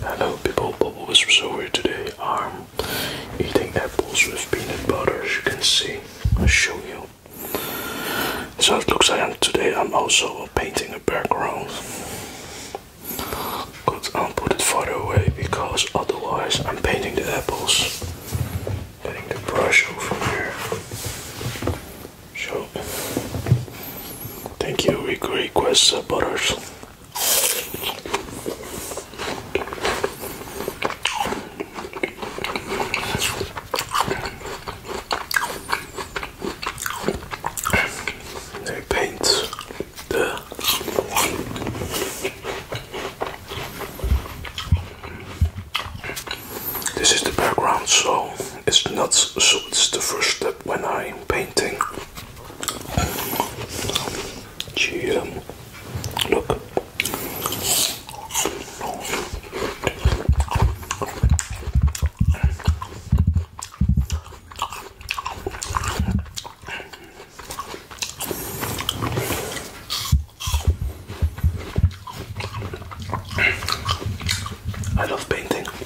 Hello people, Bobo is so here today. I'm eating apples with peanut butter as you can see. I'll show you. So it looks like I'm, today I'm also painting a background. But I'll put it further away because otherwise I'm painting the apples. Getting the brush over here. So, thank you, request uh, butters. They paint the this is the background so it's not so it's the first step when I'm painting she, look. I love painting.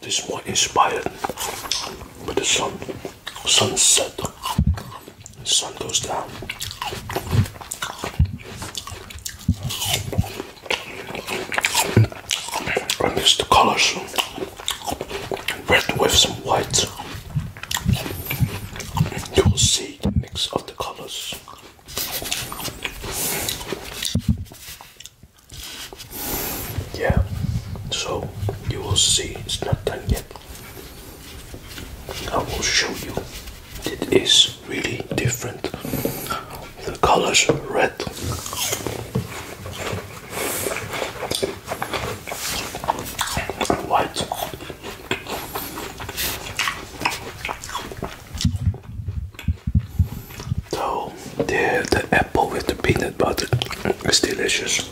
This one inspired with the sun, sunset, sun goes down. I mix the colors red with some white. You will see the mix of the colors. Yeah, so you will see it's not done yet. I will show you. It is really different. The colors red. And white so the, the apple with the peanut butter is delicious.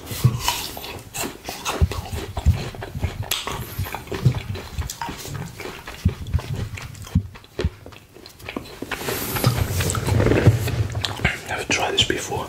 i tried this before.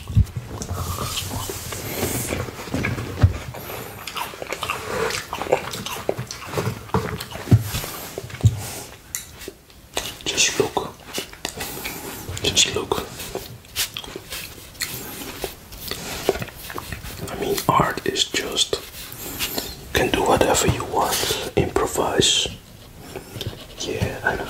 Just look. Just look. I mean, art is just can do whatever you want, improvise. Yeah, I know.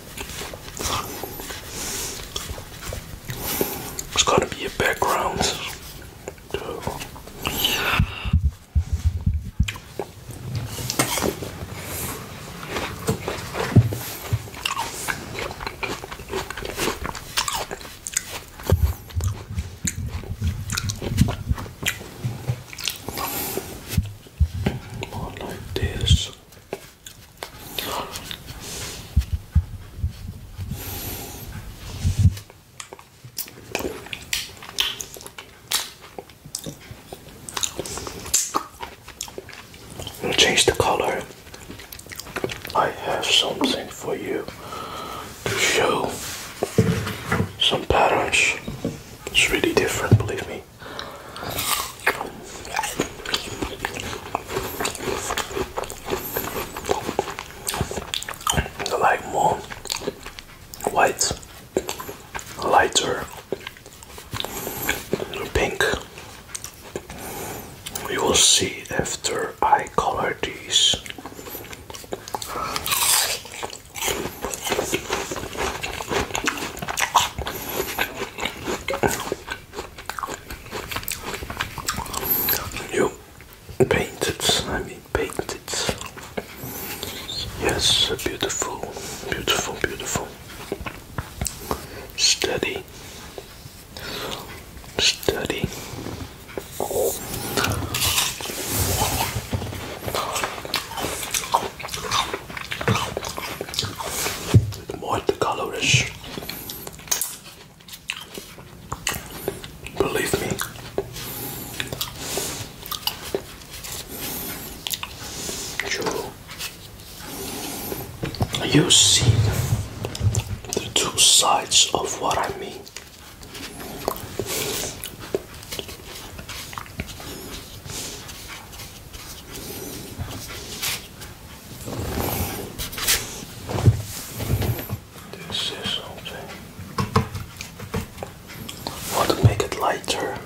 It's gonna be a background more like this. We'll change the color. I have something for you to show some patterns. It's really different, believe me. I like more white, lighter pink. We will see after I color these. You painted, I mean painted. Yes, beautiful, beautiful, beautiful. Steady, steady multicolourish. Believe me. you see the two sides of what I mean. This is something. Want to make it lighter?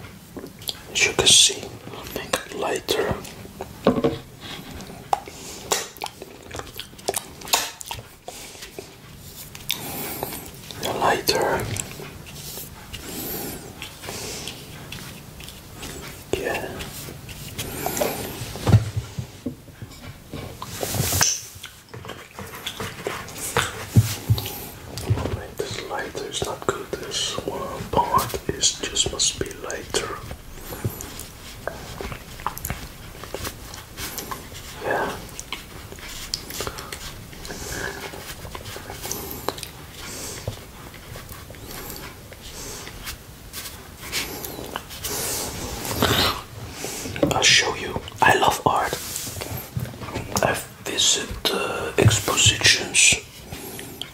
As you can see, make it lighter. lighter. Yeah. Wait, this lighter is not good. This one part is just must be lighter. Yeah. I'll show you. I love art. i visit uh, exhibitions.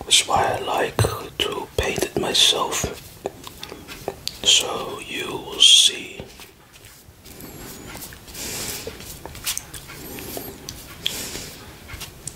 That's why I like to paint it myself. So you will see.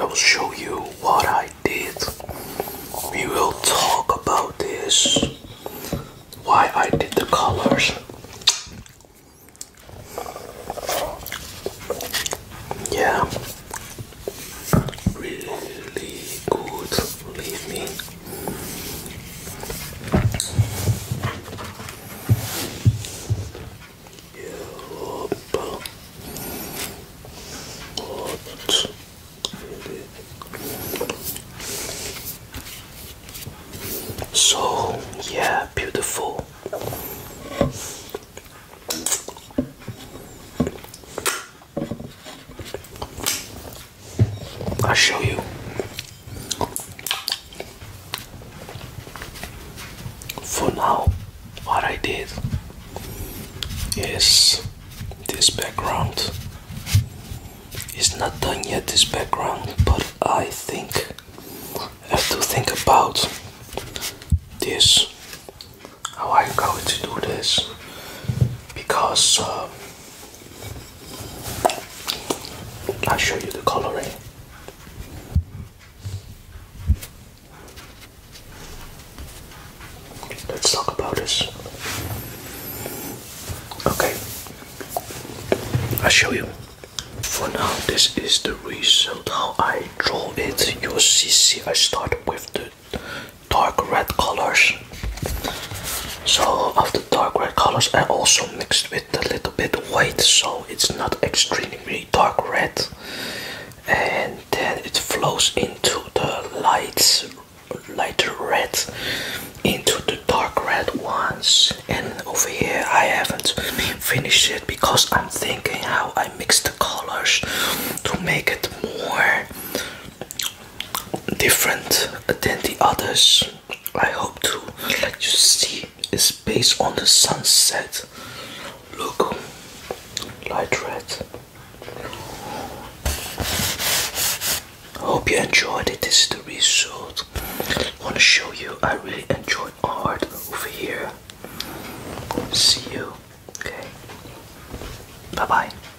I will show you what I did. We will talk about this. Why I did the colors. Yeah. Really good. Leave me. So, yeah, beautiful. I'll show you. For now, what I did is this background is not done yet. This background, but I think I have to think about this how I'm going to do this because. Uh, i show you the coloring. Eh? Let's talk about this. Okay, i show you. For now, this is the result how I draw it. You'll see, see I start with the dark red colors so of the dark red colors I also mixed with a little bit white so it's not extremely dark red and then it flows into the light lighter red into the dark red ones and over here I haven't finished it because I'm thinking how I mix the colors to make it more different than the others. I hope to let you see It's based on the sunset. Look, light red. Hope you enjoyed it. This is the result. Want to show you? I really enjoy art over here. See you. Okay. Bye bye.